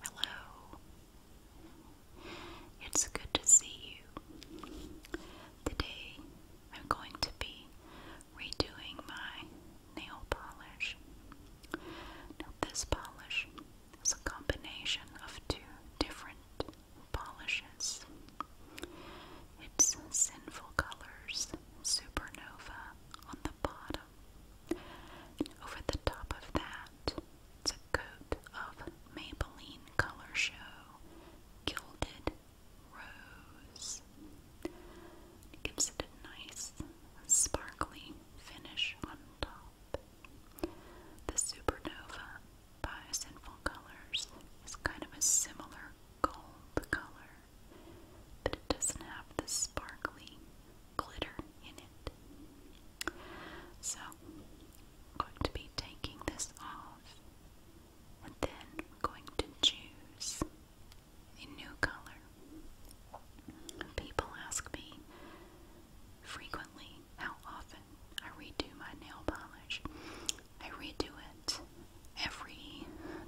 Hello. It's good to see you. Today I'm going to be redoing my nail polish. this polish is a combination of two different polishes. It's Sinful Colors Supernova on the bottom over the top of that, it's a coat of Maybelline Color Show Gilded Rose. It gives it a nice, sparkly finish on top. The Supernova by Sinful Colors is kind of a similar gold color but it doesn't have the sparkly glitter in it. So, I'm going to be taking this off and then we're going to choose a new color. People ask me frequently how often I redo my nail polish. I redo it every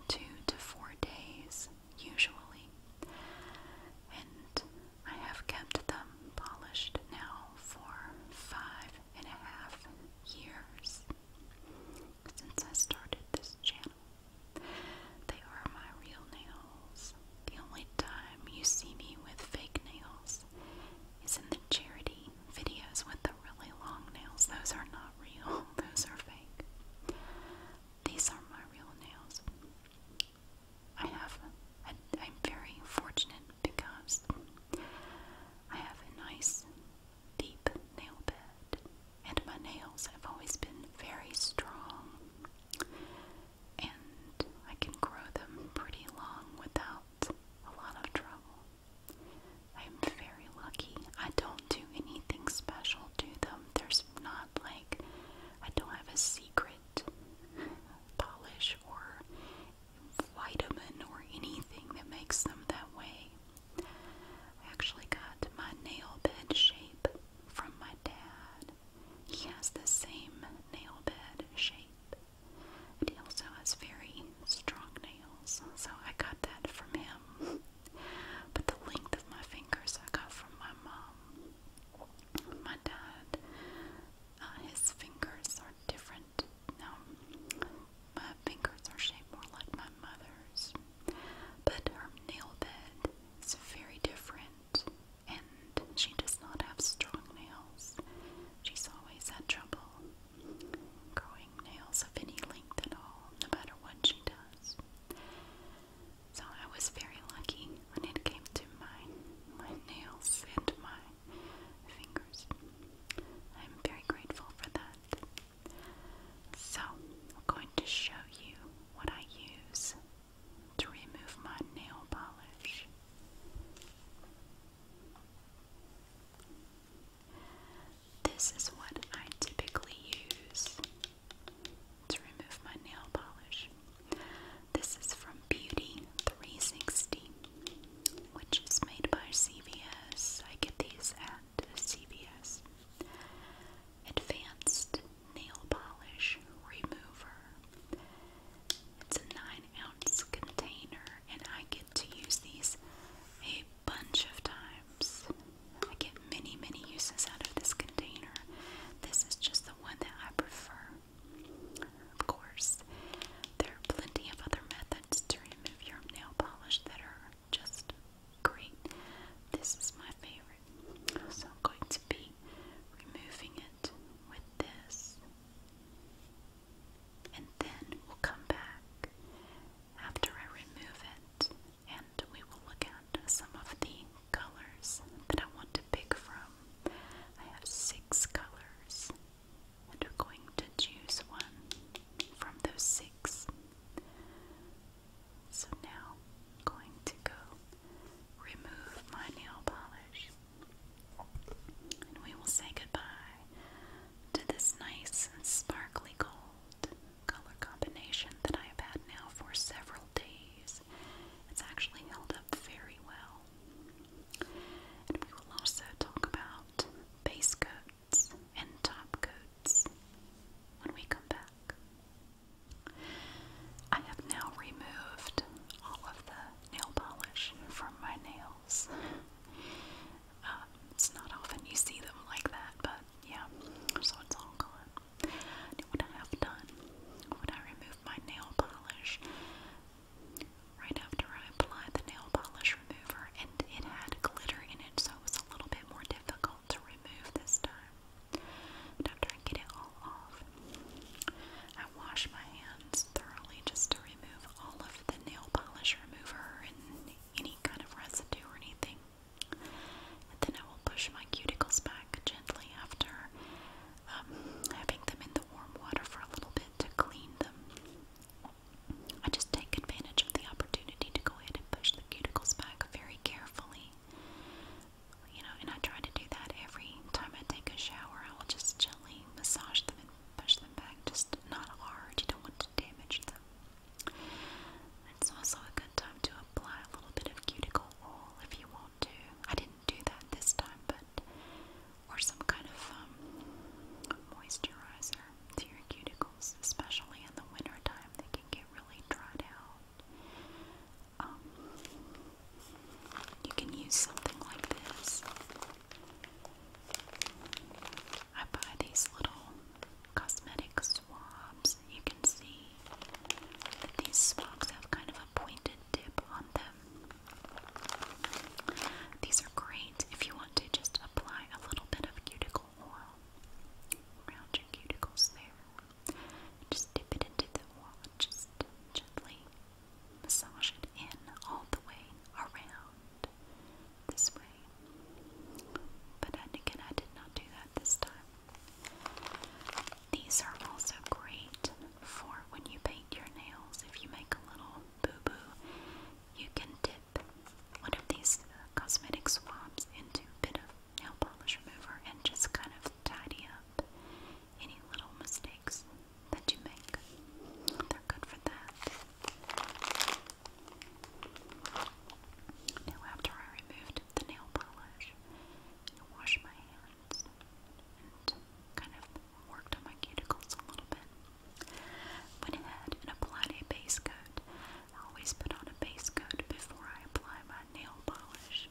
two to four days usually, and I have kept them polished now for five and a half years since I started this channel. They are my real nails. The only time you see me with fake nails is in the charity videos with the really long nails. Those are not real, those are fake. These are my real nails. I have, a, I'm very fortunate because I have a nice deep nail bed, and my nails have always been very strong, and I can grow them pretty long without a lot of trouble. I am very lucky. I don't do anything special to them. There's not like I don't have a secret polish or vitamin or anything that makes them that way. I actually got my nail bed shape from my dad. He has the same nail bed shape. And he also has very strong nails, so I got that from him. But the length of my fingers I got from my mom. My dad, uh, his fingers are different. Now, my fingers are shaped more like my mother's, but her nail bed is very different, and she does not have strong nails. She's always had trouble growing nails of any length at all, no matter what she does. So I was very lucky when it came to my my nails and my fingers. I'm very grateful for that. So I'm going to show you what I use to remove my nail polish. This is what I typically use to remove my nail polish. This is from Beauty 360, which is made by CVS. I get these at CVS. Advanced Nail Polish Remover. It's a 9 ounce container, and I get to use these a bunch of times. I get many, many uses out of this container. This is just the one that I prefer. Of course, there are plenty of other methods to remove your nail polish that are just great. This is my favorite. So I'm going to be removing it with this. And then we'll come back after I remove it and we will look at some of the colors that I want to pick from. I have six colors, and we're going to choose one from those six. So now I'm going to go remove my nail polish. And we will say goodbye to this nice and sparkly gold color combination that I have had now for several days. It's actually held up very well. And we will also talk about base coats and top coats when we come back. I have now removed all of the nail polish from my nails. Um, it's not often you see them like that, but yeah, so it's all gone. Now what I have done, when I remove my nail polish, right after I applied the nail polish remover, and it had glitter in it, so it was a little bit more difficult to remove this time. after I get it all off, I wash my hands thoroughly just to remove all of the nail polish remover and any kind of residue or anything and then I will push my cuticles back gently after um, having them in the warm water for a little bit to clean them. I just take advantage of the opportunity to go ahead and push the cuticles back very carefully. You know, and I try to do that every time I take a shower. I will just gently massage them and push them back, just not hard. You don't want to damage them. It's also a good time to apply a little bit of cuticle oil if you want to. I didn't do that this time, but or some kind of um, moisturizer to your cuticles, especially in the winter time. They can get really dried out. Um, you can use something like this. I buy these little cosmetics swabs, you can see that these swabs have kind of a pointed tip on them. These are great if you want to just apply a little bit of cuticle oil around your cuticles there. Just dip it into the oil, just gently massage it in all the way around this way. But again, I did not do that this time. These are also great for when you paint your nails. If you make a little boo boo, you can dip one of these uh, cosmetic swabs into a bit of nail polish remover and just kind of tidy up any little mistakes that you make. They're good for that. Now, after I removed the nail polish, I washed my hands and kind of worked on my cuticles a little bit. Went ahead and applied a base coat. I always put on a base coat before I apply my nail polish.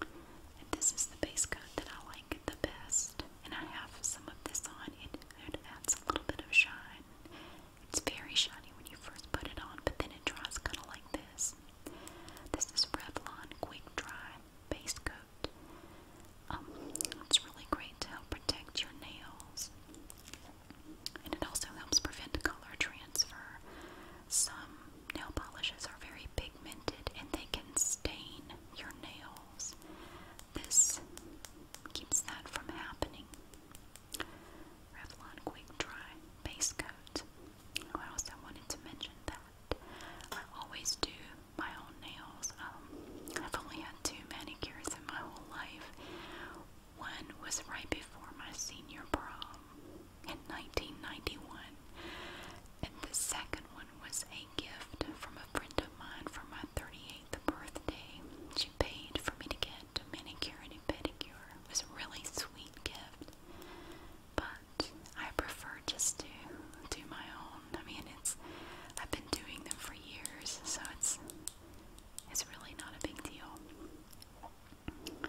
And this is the base coat that I like the best. And I have some of this on. It, it adds a little bit of shine it's very shiny when you first put it on, but then it dries kind of like this. This is Revlon Quick Dry Base Coat. Um, it's really great to help protect your nails. And it also helps prevent color transfer. Some nail polishes are very pigmented and they can stain your nails. This keeps that from happening. Revlon Quick Dry Base Coat. Oh, I also wanted to mention that I always do my own nails. Um, I've only had two manicures in my whole life. One was right before my senior prom in 1991, and the second one was a gift from a friend of mine for my 38th birthday. She paid for me to get to manicure and pedicure. It was a really sweet gift, but I prefer just to do my own. I mean, it's I've been doing them for years, so it's it's really not a big deal.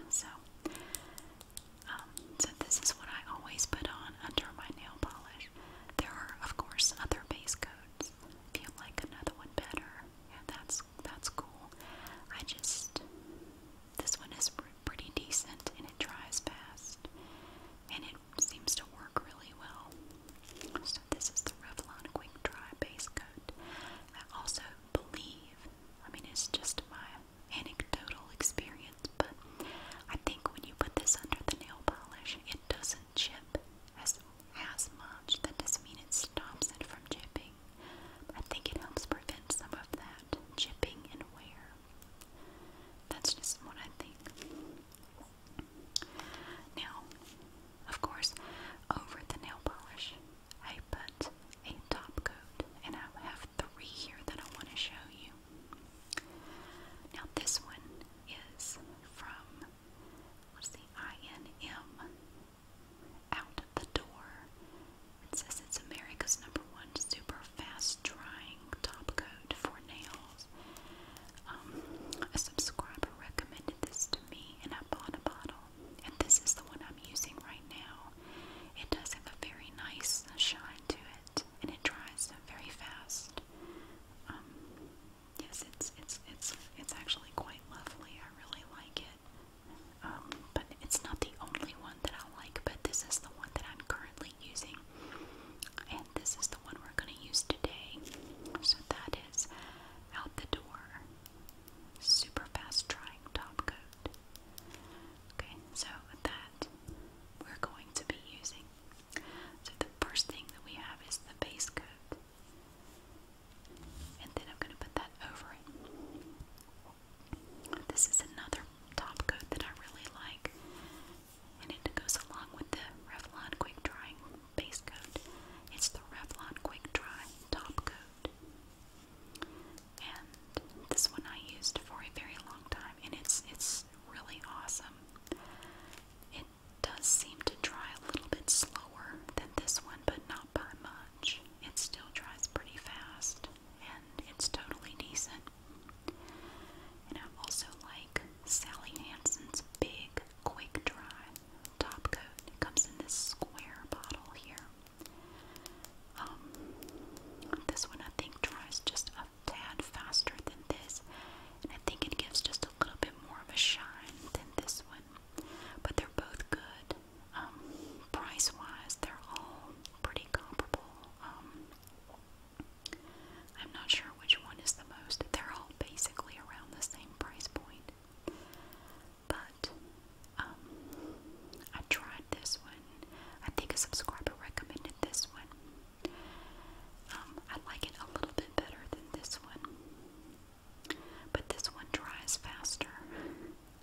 So, um, so this is what I always put on under my nail polish. There are, of course, other base coats. If you like another one better, yeah, that's that's cool. I just this one is pretty decent and it dries fast and it seems to work really well. So this is the Revlon Quick Dry Base Coat. I also believe, I mean it's just my anecdotal experience, but I think when you put this under the nail polish, it doesn't chip as as much. That doesn't mean it stops it from chipping. I think it helps prevent some of that chipping and wear. That's just what I think. Now, of course, over the nail polish, I put a top coat, and I have three here that I want to show you. Now, this one is from, what's the INM out the door. It says it's America's number one super fast drying top coat for nails. Um, a subscriber recommended this to me, and I bought a bottle. And this is the one I'm using right now. It does have a very nice shine to it, and it dries very fast. Um, yes, it's it's it's it's actually quite lovely. I really like it. Um, but it's not the only one that I like, but this is the one that I'm currently using. And this is the one we're going to use today. So that is Out the Door Super Fast Drying Top Coat. Okay, so that we're going to be using. So the first thing that we have is the base coat. And then I'm going to put that over it. This is another top coat that I really like. And it goes along with the Revlon Quick Drying Base Coat. It's the Revlon Quick Dry Top Coat. And this one I used for a very long time, and it's it's really awesome. It does seem to dry a little bit slower than this one, but not by much. It still dries pretty fast and it's totally decent. And I also like Sally Hansen's big quick dry top coat. It comes in this square bottle here. Um, this one I think dries just a tad faster than this, and I think it gives just a little bit more of a shine than this one. But they're both good. Um, price-wise, they're all pretty comparable. Um, I'm not sure which one is the most. They're all basically around the same price point. But um, I tried this one. I think a subscriber recommended this one. I like it a little bit better than this one. But this one dries faster.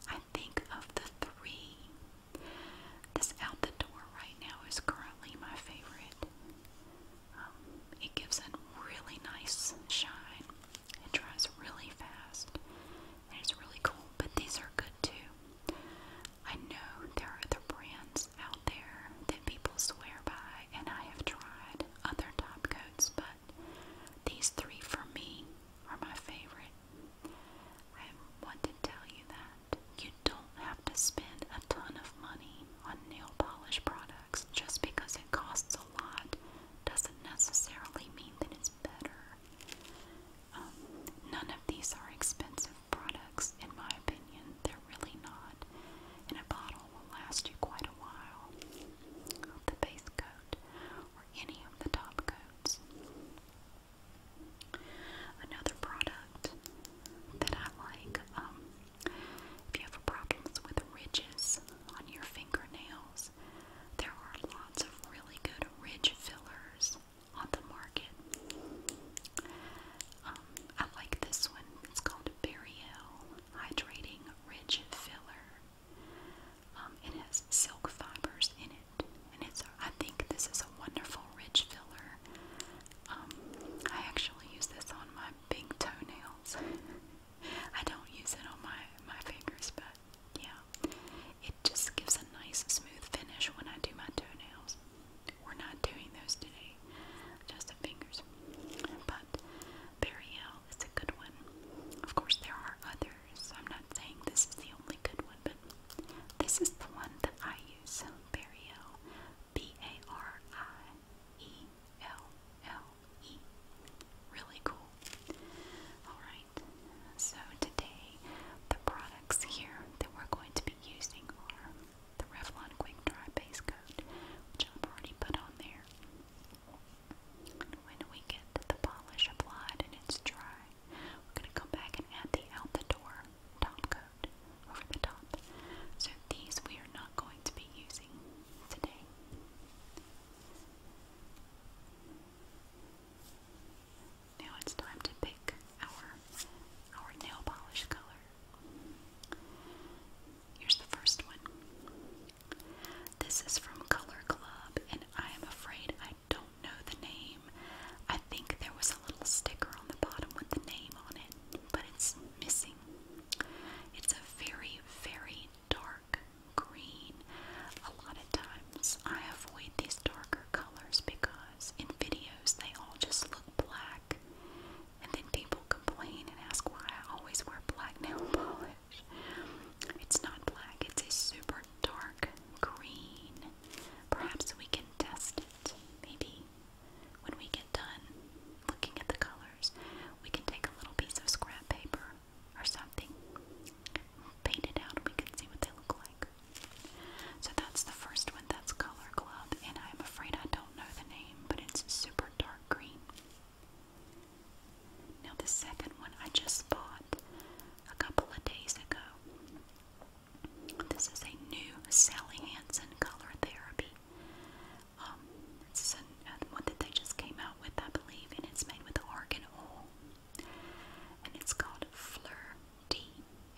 I think of the three. This out the door right now is currently my favorite. Um, it gives a really nice shine. It dries really fast. it's really cool. But these are good too. I know there are other brands out there that people swear by, and I have tried other top coats, but these three for me are my favorite. I want to tell you that you don't have to spend a ton of money on nail polish products. Just because it costs a lot doesn't necessarily mean that it's better. Um, none of these are expensive products, in my opinion. They're really not. And a bottle oil will last you quite a while. The base coat or any of the top coats. Another product that I like, um, if you have problems with ridges on your fingernails, there are lots of really good ridge fillers on the market. Um, I like this one. It's called Burial Hydrating Ridge Filler. Um, it has silk fibers in it, and it's. I think this is a wonderful rich filler. Um, I actually use this on my big toenails. I don't use it on my my fingers, but yeah, it just gives a nice smooth finish when I do my toenails. We're not doing those today, just the fingers. But Burial is a good one. Of course, there are others. I'm not saying this is the only good one, but this is the one that I use. Burial. B A R I E L L E. Really cool. Alright, so today the products here that we're going to be using are the Revlon Quick Dry Base Coat, which I've already put on there. When we get the polish applied and it's dry, we're going to come back and add the out top coat over the top. So these we are not going to be using today. Now it's time to pick our our nail polish color. Here's the first one. This is from Color Club, and I am afraid I don't know the name. I think there was a little sticker on the bottom with the name on it, but it's missing. It's a very, very dark green. A lot of times I avoid these darker colors because in videos they all just look black. And then people complain and ask why I always wear black nail polish. It's not black, it's a super dark green. Perhaps we can test it. Maybe when we get done looking at the colors, we can take a little piece of scrap paper or something, paint out, we can see what they look like. So that's the first one, that's Color Club, and I'm afraid I don't know the name, but it's super dark green. Now, the second one I just bought a couple of days ago. This is a new Sally Hansen Color Therapy. Um, this is uh, one that they just came out with, I believe, and it's made with argan oil. And it's called Fleur D,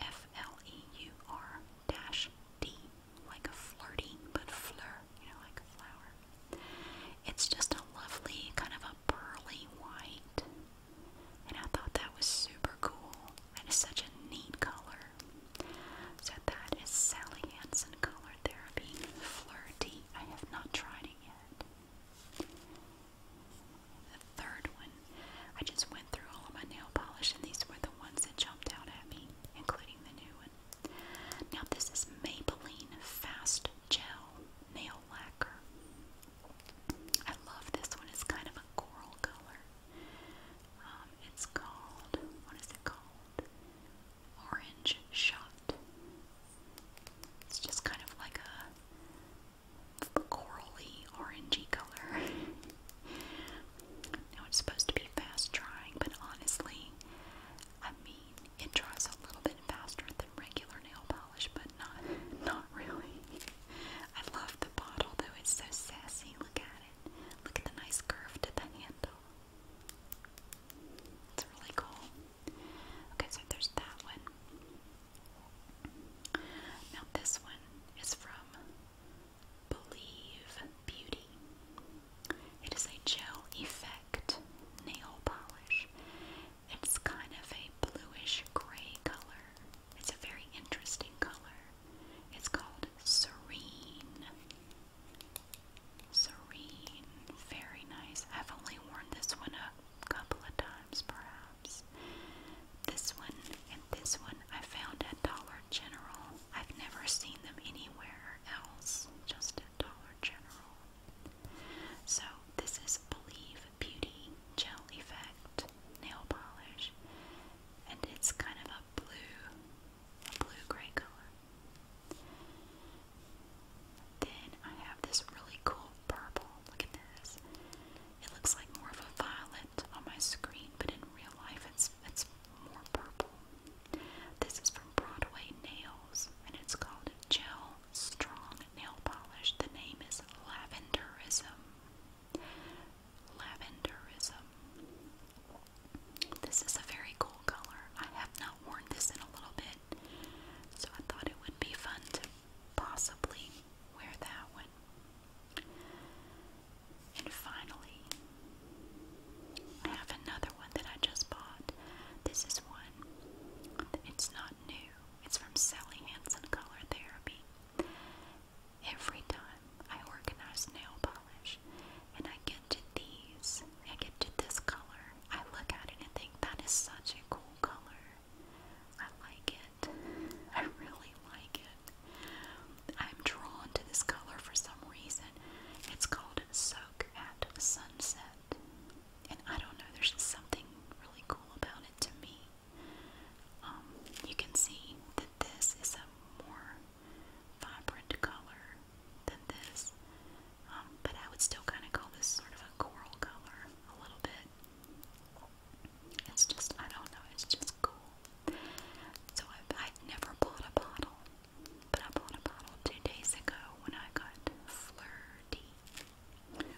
F L E U R dash D, like a flirty, but Fleur, you know, like a flower. It's just a lovely kind of a pearly white. And I thought that was super cool. It's such a neat color. So that is Sally Hansen Color Therapy Flirty. I have not tried it yet. The third one. I just went through all of my nail polish and these were the ones that jumped out at me, including the new one. Now, this is Maybelline Fast Gel Nail Lacquer. I love this one. It's kind of a coral color. Um, it's called, what is it called? Orange Shot. It's just kind of like a corally, orangey color. now, it's supposed to be fast drying, but honestly, I mean, it dries a little bit faster than regular nail polish, but not not really. I love the bottle though, it's so sassy. Look at it. Look at the nice curve to the handle. It's really cool. Okay, so there's that one. Now this one is from Believe Beauty. It is a gel effect nail polish. It's kind of a bluish gray color. It's a very interesting color. It's called Serene. Serene. Very nice. I've only worn this one a couple of times, perhaps. This one and this one I found at Dollar General. I've never seen them anywhere else, just Dollar General. So, this is Believe Beauty Gel Effect Nail Polish, and it's kind of a blue, blue-gray color. Then I have this really cool purple. Look at this. It looks like more of a violet on my screen, but in real life it's it's more purple. This is from Broadway Nails and it's called Gel Strong Nail Polish. The name is Lavenderism. Lavenderism. This is a very cool color. I have not worn this in a little bit, so I thought it would be fun to possibly wear that one. And finally, I have another one that I just bought. This is one. It's not new. It's from Sally Hansen Color Therapy. Every time I organize nail polish and I get to these, I get to this color, I look at it and think that is such a cool color. I like it. I really like it. I'm drawn to this color for some reason. It's called Soak at Sunset. And I don't know, there's something really cool about it to me. Um, you can see that this is a more vibrant color than this, um, but I would still kind of call this sort of a coral color a little bit. It's just, I don't know, it's just cool. So I, i never bought a bottle but I bought a bottle two days ago when I got Flirty.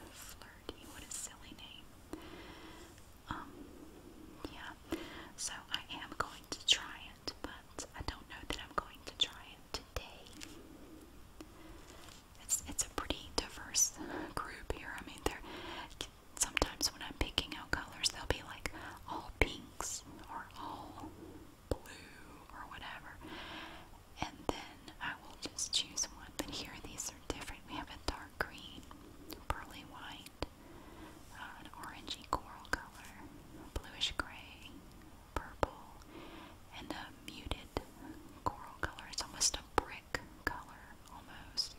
Flirty, what a silly name. Um, yeah. So I am going to try it, but I don't know that I'm going to try it today. It's it's a pretty diverse group here. I mean, they're sometimes when I'm picking out colors, they'll be like all pinks or all blue or whatever. And then I will just choose one. But here these are different. We have a dark green, pearly white, uh, an orangey coral color, bluish gray, purple, and a muted coral color. It's almost a brick color, almost.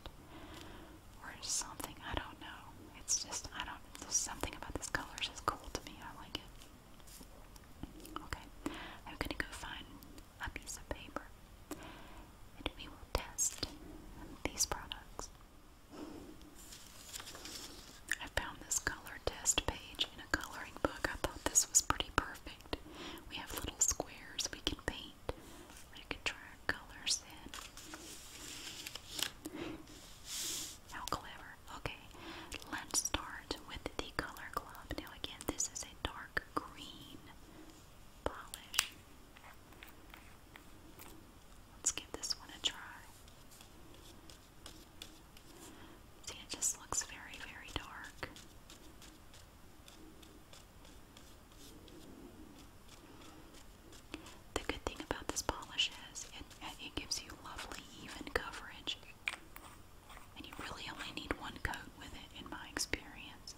Or something, I don't know. It's just, I don't, there's something about this color is just cool to me. I like it. Okay, I'm gonna go find a piece of paper and we will test these products. I found this color test page in a coloring book. I thought this was pretty perfect. We have little squares we can paint. We can try colors in. How clever. Okay, let's start with the Color Club. Now, again, this is a dark green polish. Let's give this one a try. See, it just looks very, very dark. The good thing about this polish is it, it gives you lovely, even coverage. And you really only need one coat with it, in my experience.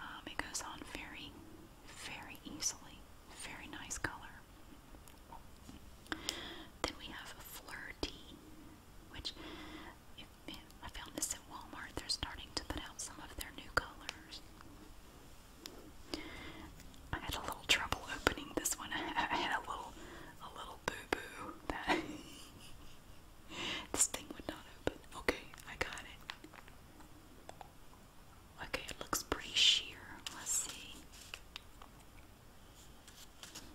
Um, it goes on very, very easily. Very nice color. Then we have Fleur which I found this at Walmart. They're starting to put out some of their new colors. I had a little trouble opening this one. I, had a little, a little boo-boo that this thing would not open. Okay, I got it. Okay, it looks pretty sheer. Let's see.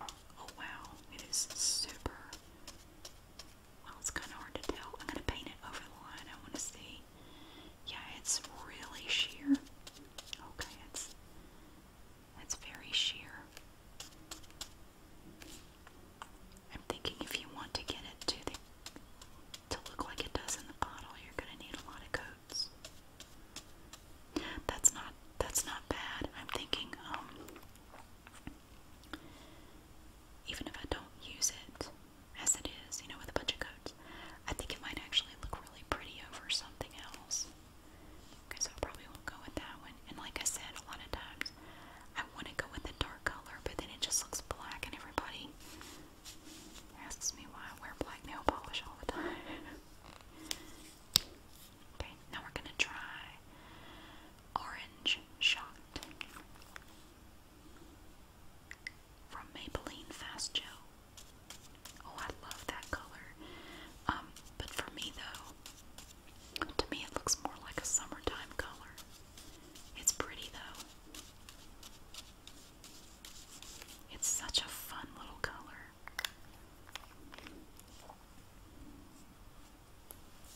Oh wow, it is super. Well, it's kind of hard to tell. I'm gonna paint it over the line. I want to see. Yeah, it's really sheer. Okay, it's that's very sheer. I'm thinking if you want to get it to look like it does in the bottle, you're gonna need a lot of coats. That's not that's not bad. I'm thinking, um, even if I don't use it as it is, you know, with a bunch of coats, I think it might actually look really pretty over something else so I probably won't go with that one. And like I said, a lot of times I want to go with a dark color, but then it just looks black, and everybody asks me why I wear black nail polish all the time. okay, now we're gonna try Orange Shot from Maybelline Fast Gel. Oh, I love that color. Um, but for me though, to me it looks more like a summertime color. It's pretty though. It's such a fun little color.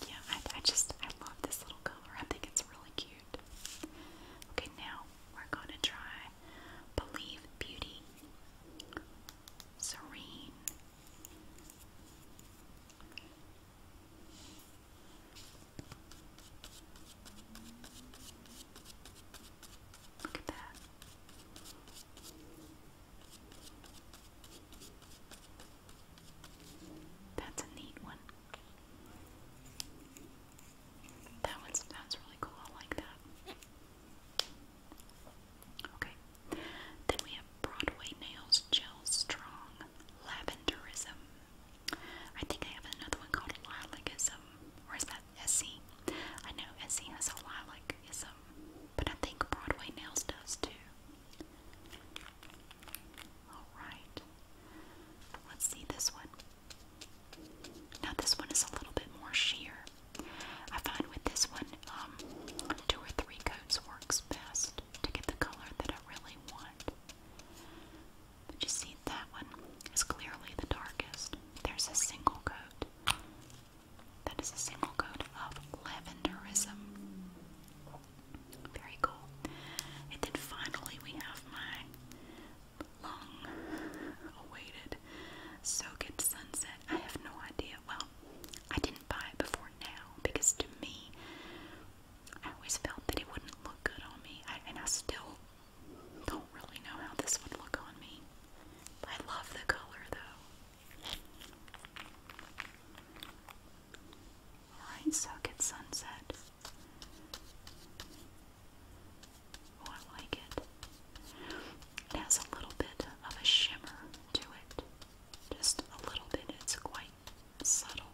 Yeah, I just, I love this little color. I think it's really cute. Okay, now we're going to try Believe Beauty serene. Look at that. That's a neat one. That one sounds really cool. I like that. Okay. Then we have Broadway Nails Gel Strong Lavenderism. I think I have another one called Lilacism. Or that Essie? know Essie has a Lilacism, but I think Broadway Nails does too. Alright. Let's see this one. Now this one is a little bit more sheer. I find with this one, um, two or three coats works best to get the color that I really want. But you see, that one is clearly the darkest. There's a single coat. That is a single coat of lavenderism. Very cool. And then finally we have my long awaited Soket Sunset. I have no idea. Well, I didn't buy it before now because to me, I always felt that it wouldn't look good on me. and I still don't really know how this would look on me. I love the color though. Alright, Socket Sunset. Oh, I like it. It has a little bit of a shimmer to it. Just a little bit. It's quite subtle.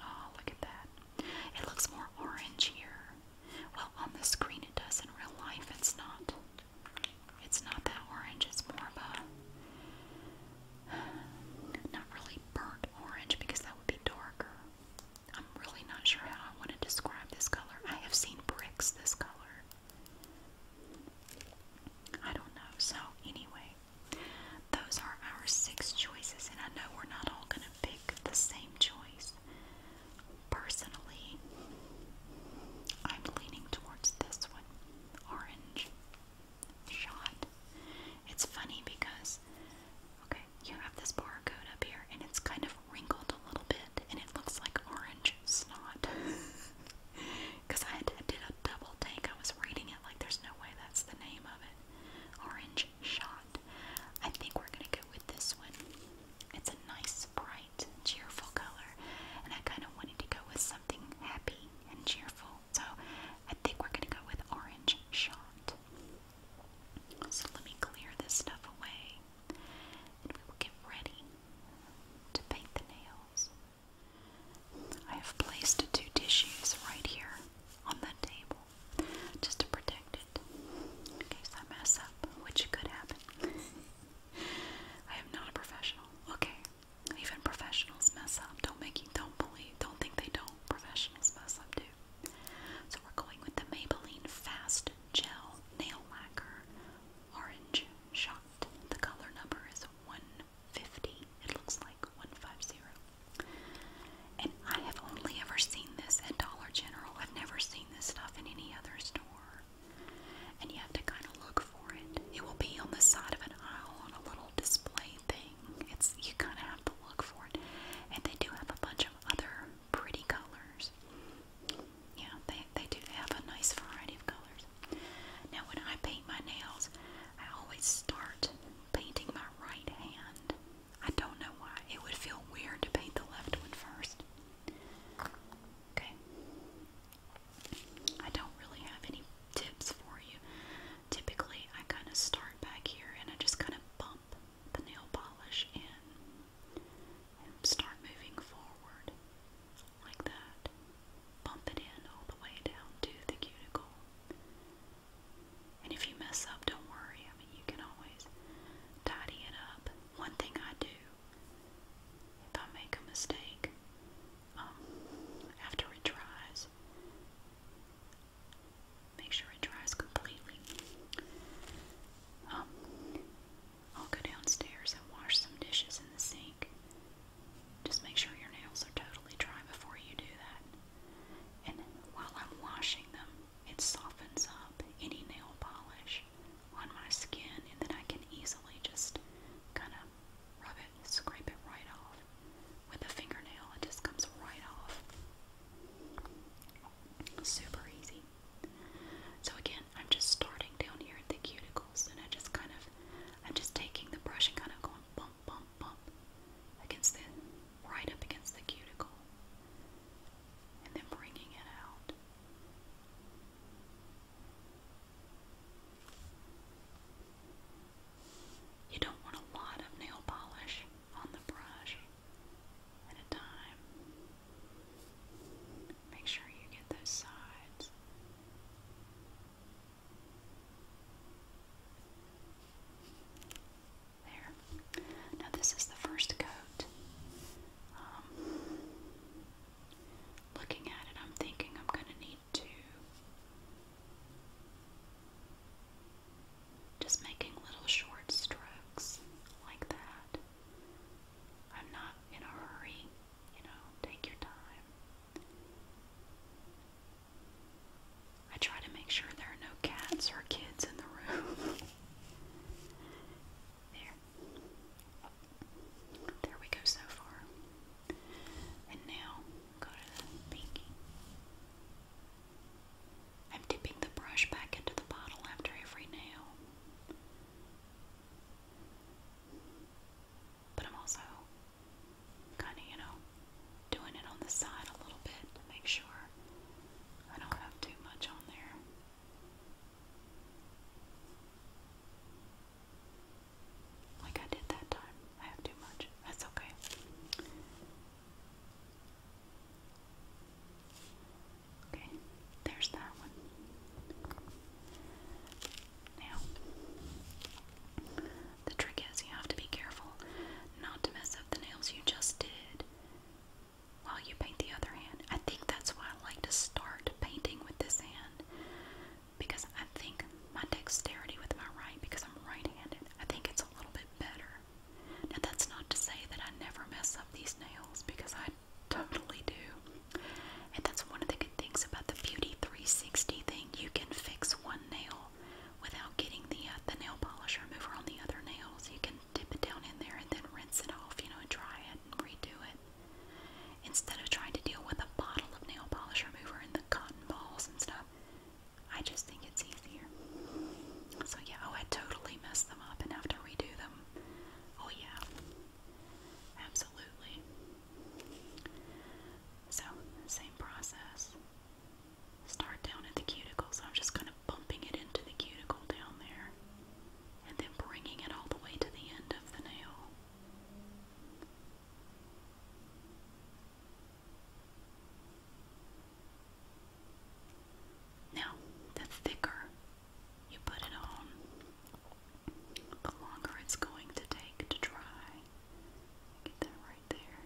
Oh, look at that. It looks more orange here. Well, on the screen it does. In real life, it's not. It's not that orange. It's more of a. Not really burnt orange because that would be darker. I'm really not sure how I want to describe this color. I have seen bricks this color. I don't know. So, anyway, those are our six choices, and I know we're not all going to pick the same choice. Personally, I'm leaning towards this one orange shot. It's funny because, okay, you have this barcode up here, and it's kind of wrinkled a little bit and it looks like orange snot. Because I, did a double take. I was reading it like there's no way that's the name of it. Orange shot. I think we're going to go with this one. It's a nice, bright, cheerful color. And I kind of wanted to go with something happy and cheerful. So I think we're going to go with orange shot. So let me clear this stuff away and we will get ready to paint the nails. I have placed two tissues right here on the table just to protect it in case I mess up, which could happen. I am not a professional. Okay. Even professionals mess up. Don't make you don't believe don't think they don't. Professionals mess up too. So we're going with the Maybelline Fast Gel Nail Lacquer Orange Shot. The color number is 150. It looks like 150. And I have only ever seen this at Dollar General. I've never seen this stuff in any other store. And you have to kind of look for it. It will be on the side of an aisle on a little display thing. It's you kind of have to look for it. And they do have a bunch of other pretty colors. Yeah, they, they do have a nice variety of colors. Now, when I paint my nails, I always start painting my right hand. I don't know why. It would feel weird to paint the left one first. Okay. I don't really have any tips for you. Typically, I kind of start back here and I just kind of bump the nail polish in and start moving forward like that. Bump it in all the way down to the cuticle. And if you mess up, don't worry. I mean, you can always tidy it up. One thing I do if I make a mistake um, after it dries, make sure it dries completely. Um, I'll go downstairs and wash some dishes in the sink. Just make sure your nails are totally dry before you do that. And while I'm washing them, it softens up any nail polish on my skin, and then I can easily just kind of rub it, scrape it right off. With a fingernail, it just comes right off. Super easy. So again, I'm just starting down here at the cuticles and I just kind of, I'm just taking the brush and kind of going bump, bump, bump against the, right up against the cuticle and then bringing it out. You don't want a lot of nail polish on the brush at a time. Make sure you get those sides. There. Now, this is the first coat. Um, looking at it, I'm thinking I'm going to need to just making little short strokes like that. I'm not in a hurry, you know, take your time. I try to make sure there are no cats or kids in the room. there. There we go so far. And now go to the pinky. I'm dipping the brush back into the bottle after every nail. But I'm also kind of, you know, doing it on the side a little bit to make sure I don't have too much on there. Like I did that time. I have too much. That's okay. Okay, there's that one. Now, the trick is you have to be careful not to mess up the nails you just did while you paint the other hand. I think that's why I like to start painting with this hand because I think my dexterity with my right, because I'm right handed, I think it's a little bit better now, that's not to say that I never mess up these nails because I totally do. And that's one of the good things about the Beauty 360 thing. You can fix one nail without getting the, uh, the nail polish remover on the other nails. You can dip it down in there and then rinse it off, you know, and dry it and redo it. Instead of trying to deal with a bottle of nail polish remover and the cotton balls and stuff, I just think it's so yeah, oh, I totally messed them up and have to redo them. Oh yeah, absolutely. So same process. Start down at the cuticle, so I'm just kind of bumping it into the cuticle down there, and then bringing it all the way to the end of the nail. Now, the thicker you put it on, the longer it's going to take to dry. Get that right there.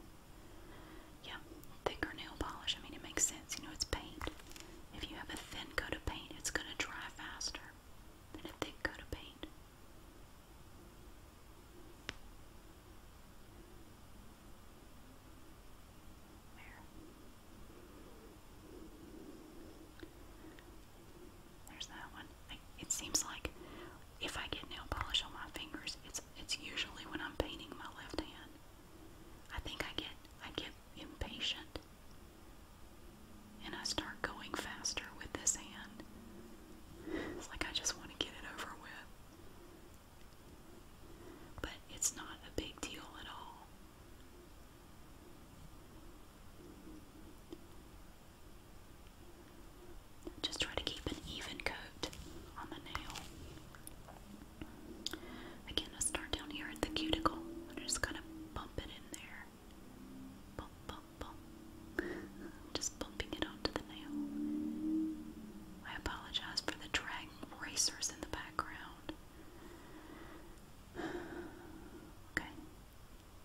Yeah, thicker nail polish. I mean, it makes sense. You know, it's paint. If you have a thin coat of paint, it's going to dry faster than a thick coat of paint. There's that one. it seems like if I get nail polish on my fingers, it's it's usually when I'm painting my left hand. I think I get I get impatient and I start going faster with this hand. It's like I just want to get it over with. But it's not a big deal at all. Just try to keep an even coat on the nail. Again, start down here at the cuticle. I just kind of bump it in there. Bump, bump, bump. Just bumping it onto the nail. I apologize for the drag racers in the background. Okay.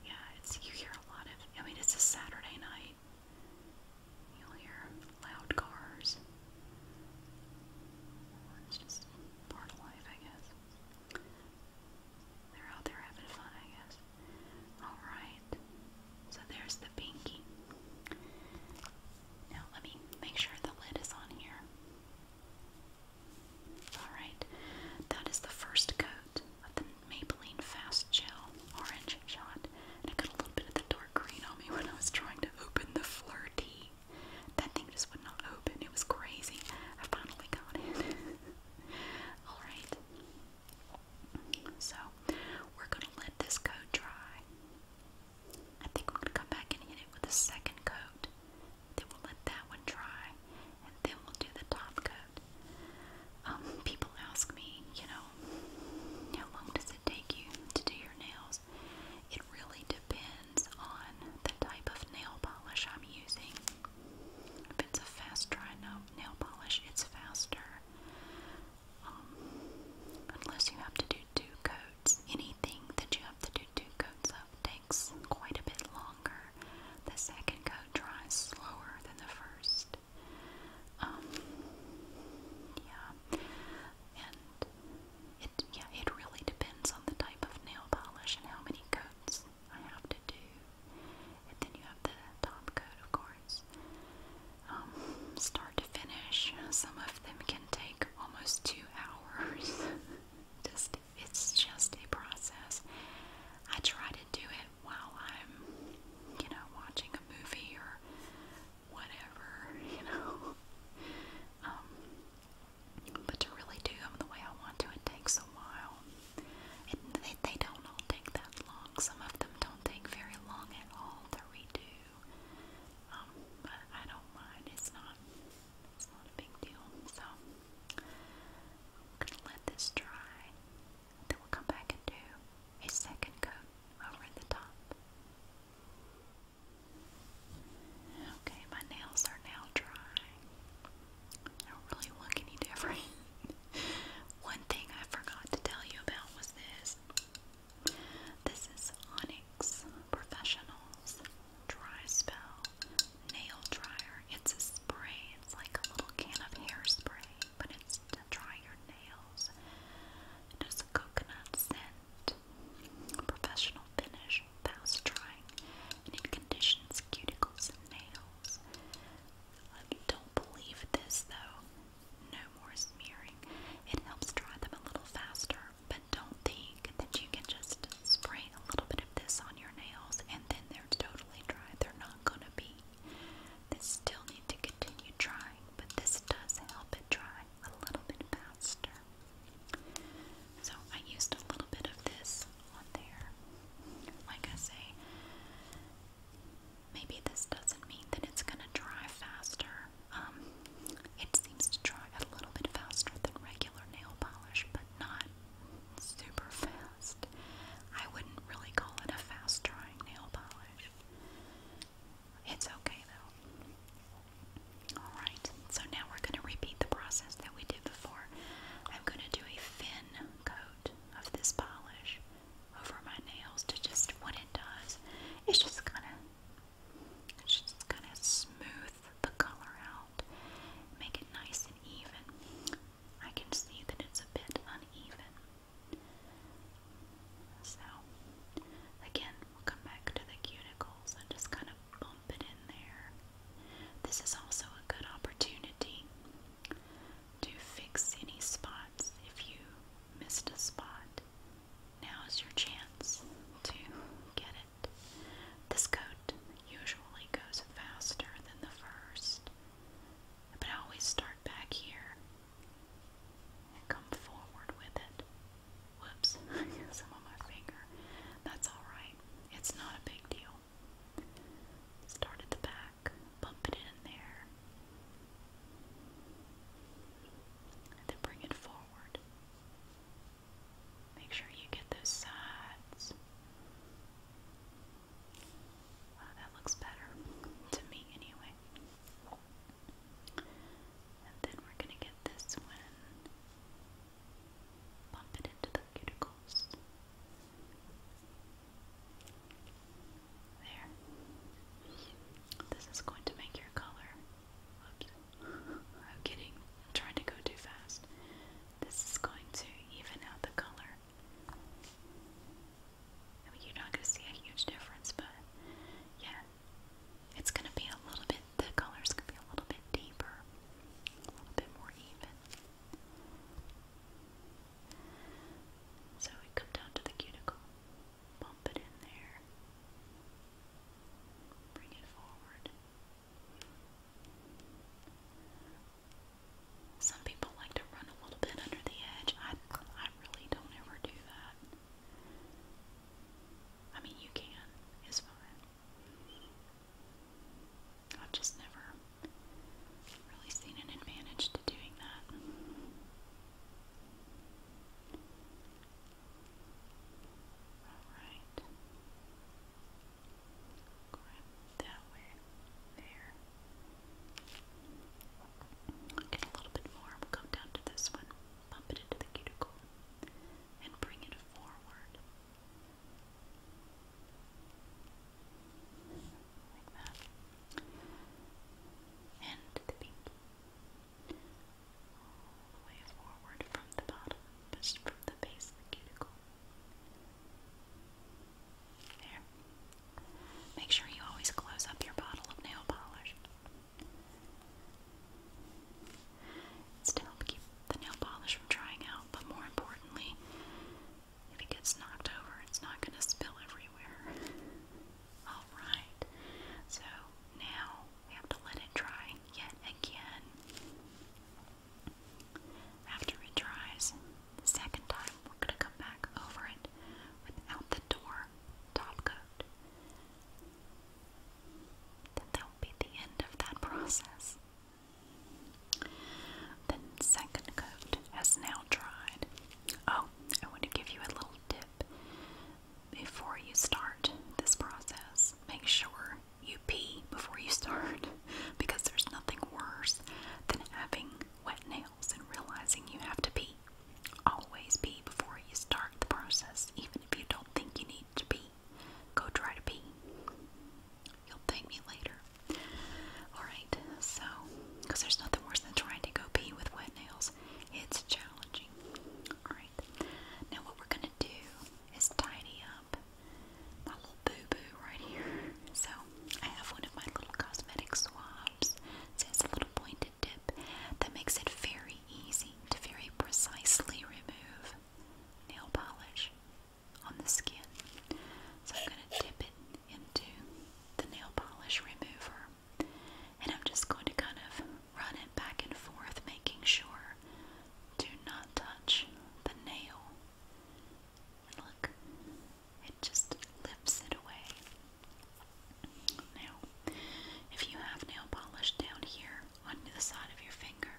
Yeah, it's you hear a lot of I mean it's a Saturday night. You'll hear loud cars. It's just part of life, I guess. They're out there having fun, I guess. Alright. So there's the pinky. Now let me make sure the lid is on here. Alright, that is the first coat of the Maybelline Fast Gel Orange Shot. I got a little bit of the dark green on me when I was trying to open the Flirty. That thing just would not open. It was crazy. I finally got it. Alright. So, we're going to let this coat dry. I think I'm come back and hit it with a second coat. Then we'll let that one dry, and then we'll do the top coat. Um, people ask me, you know, how long does it take you to do your nails? It really depends on the type of nail polish I'm using. If it's a fast dry nail polish, it's faster. Um, unless you have to do do two coats. Anything that you have to do two coats of takes quite a bit longer. The second coat dries slower than the first. Um, yeah, and it yeah it really depends on the type of nail polish and how many coats I have to do. And then you have the top coat, of course. Um, start to finish. Some of them can take almost two hours. just it's just a process. I try to do it while I'm, you know, watching a movie or whatever, you know. Um, but to really do them the way I want to, it takes a while. they don't all take that long. Some of them don't take very long at all to redo. Um, but I don't mind. It's not it's not a big deal. So I'm gonna let this dry. Then we'll come back and do a second coat over the top. Okay, my nails are now dry. I don't really look any different. One thing I forgot to tell you about was this. This is Onyx Professionals Dry Spell Nail Dryer. It's a spray, it's like a little can of hairspray, but it's to dry your nails. It a coconut scent, professional finish, fast drying, and it conditions cuticles and nails. I don't believe this though no more smearing. It helps dry them a little faster, but don't think that you can just spray a little bit of this on your nails and then they're totally dry. They're not going to be. They still need to continue drying, but this does help it dry a little bit faster. So I used a little bit of this on there. Like I say, maybe this doesn't mean that it's going to dry faster, um, it seems to dry a little bit faster than regular nail polish, but not super fast. I wouldn't really call it a fast drying nail polish. It's okay though. Alright, so now we're going to repeat the process that we did before. I'm going to do a thin coat of this polish over my nails to just what it does. It's just gonna just gonna smooth the color out, make it nice and even. I can see that it's a bit uneven. So, again, we'll come back to the cuticles and just kind of bump it in there. This is also a good opportunity to fix any spots if you missed a spot. Now is your chance to get it. This coat usually goes faster than the first, but I always start back here and come forward with it. Whoops, some on my finger. That's alright, it's not a big deal. Start the back, bump it in there, then bring it forward. Make sure you get those sides. Wow, that looks better to me anyway. And then we're going to get this one, bump it into the cuticles. There. This is going to make your color Oops. I'm getting trying to go too fast. This is going to even out the color. you're not going to see a huge difference, but yeah, it's going to be a little bit, the color's going to be a little bit deeper, a bit more even. So we come down to the cuticle bump it in there, bring it forward. Some people like to run a little bit under the edge. I, I really don't ever do that. I mean, you can, it's fine. I've just never really seen an advantage to doing that. Alright. Grab that way. There. Get a little bit more. We'll come down to this one. Bump it into the cuticle. And bring it forward. Like that. And the pinky way forward from the bottom, just from the base of the cuticle. There. Make sure you always close up your bottle of nail polish. It's to help keep the nail polish from drying out, but more importantly, if it gets knocked over, it's not going to spill everywhere. Alright, so now we have to let it dry yet again. After it dries, second time we're going to come back over it without the door top coat. Then that will be the end of that process. The second coat has now dried. Oh, I want to give you a little tip before you start this process. Make sure you pee before you start because there's nothing worse than having wet nails and realizing you have to pee. Always pee before you start the process, even if you don't think you need to pee. Go try to pee. You'll thank me later. Alright, so, because there's nothing worse than trying to go pee with wet nails, it's challenging now what we're going to do is tidy up my little boo boo right here. So, I have one of my little cosmetic swabs. it's a little pointed tip that makes it very easy to very precisely remove nail polish on the skin. So, I'm going to dip it into the nail polish remover. And I'm just going to kind of run it back and forth, making sure to not touch the nail. look, it just lifts it away. Now, if you have nail polish down here on the side of your finger,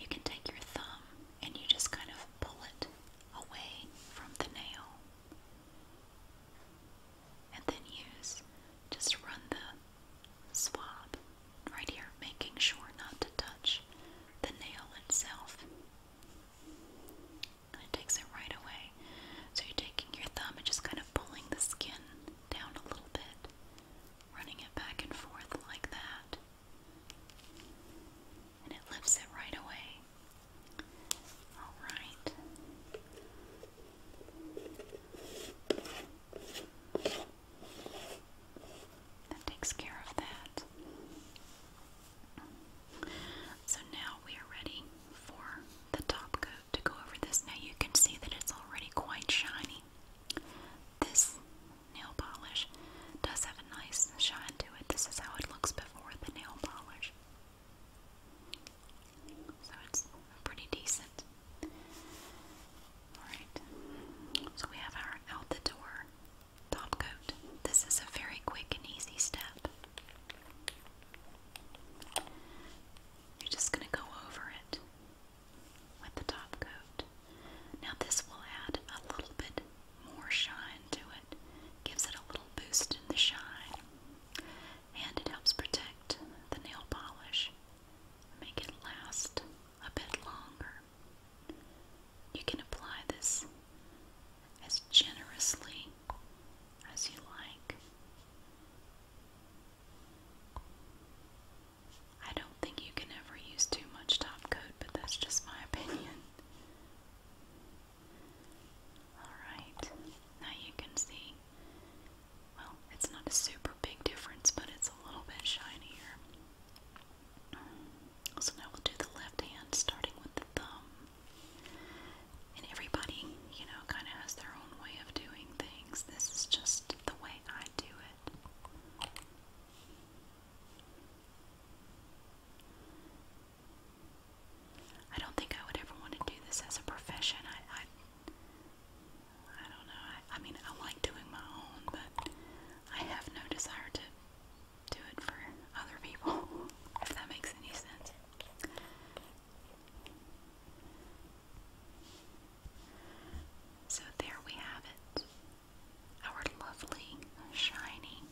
you can take your thumb and you just kind of pull it away from the nail and then use just run the swab right here, making sure not to touch the nail itself. it takes it right away. So you're taking your thumb and just kind of pulling the skin down a little bit, running it back and forth like that. And it lifts it right away. All right. That takes care of that. So now we are ready for the top coat to go over this. Now you can see that it's already quite shiny. This nail polish does have a nice shine to it. This is how it looks before the nail polish. So it's pretty decent. Alright, so we have our out the door top coat. This is a very quick and easy step. You're just going to go over it with the top coat. Now, this will add a little bit more shine to it, gives it a little boost in the shine and it helps protect the nail polish, make it last a bit longer. You can apply this as generously as you like. I don't think you can ever use too much top coat, but that's just my opinion. Alright, now you can see, well, it's not a super big difference, but it's a little bit shinier. So now we'll do the left hand, starting with the thumb. And everybody, you know, kind of has their own way of doing things. This is just the way I do it. I don't think I would ever want to do this as a profession. I, I, don't know. I mean, I like doing my own, but I have no desire to do it for other people, if that makes any sense. So there we have it. Our lovely, shiny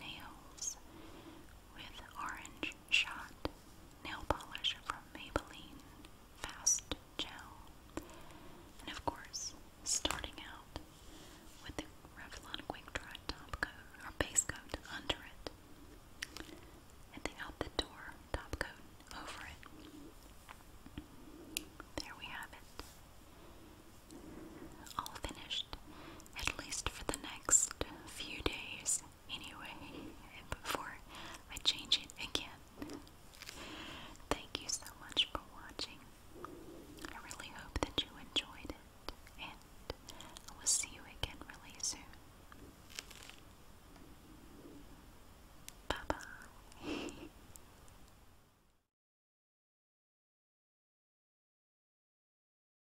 nails with orange shot nail polish from Maybelline Fast Gel. And of course, starting out with the Revlon Quick Dry top coat or base coat under it. And the out the door top coat over it. There we have it. All finished, at least for the next few days anyway before I change it again. Thank you so much for watching. I really hope that you enjoyed it, and I will see you again really soon. Bye bye.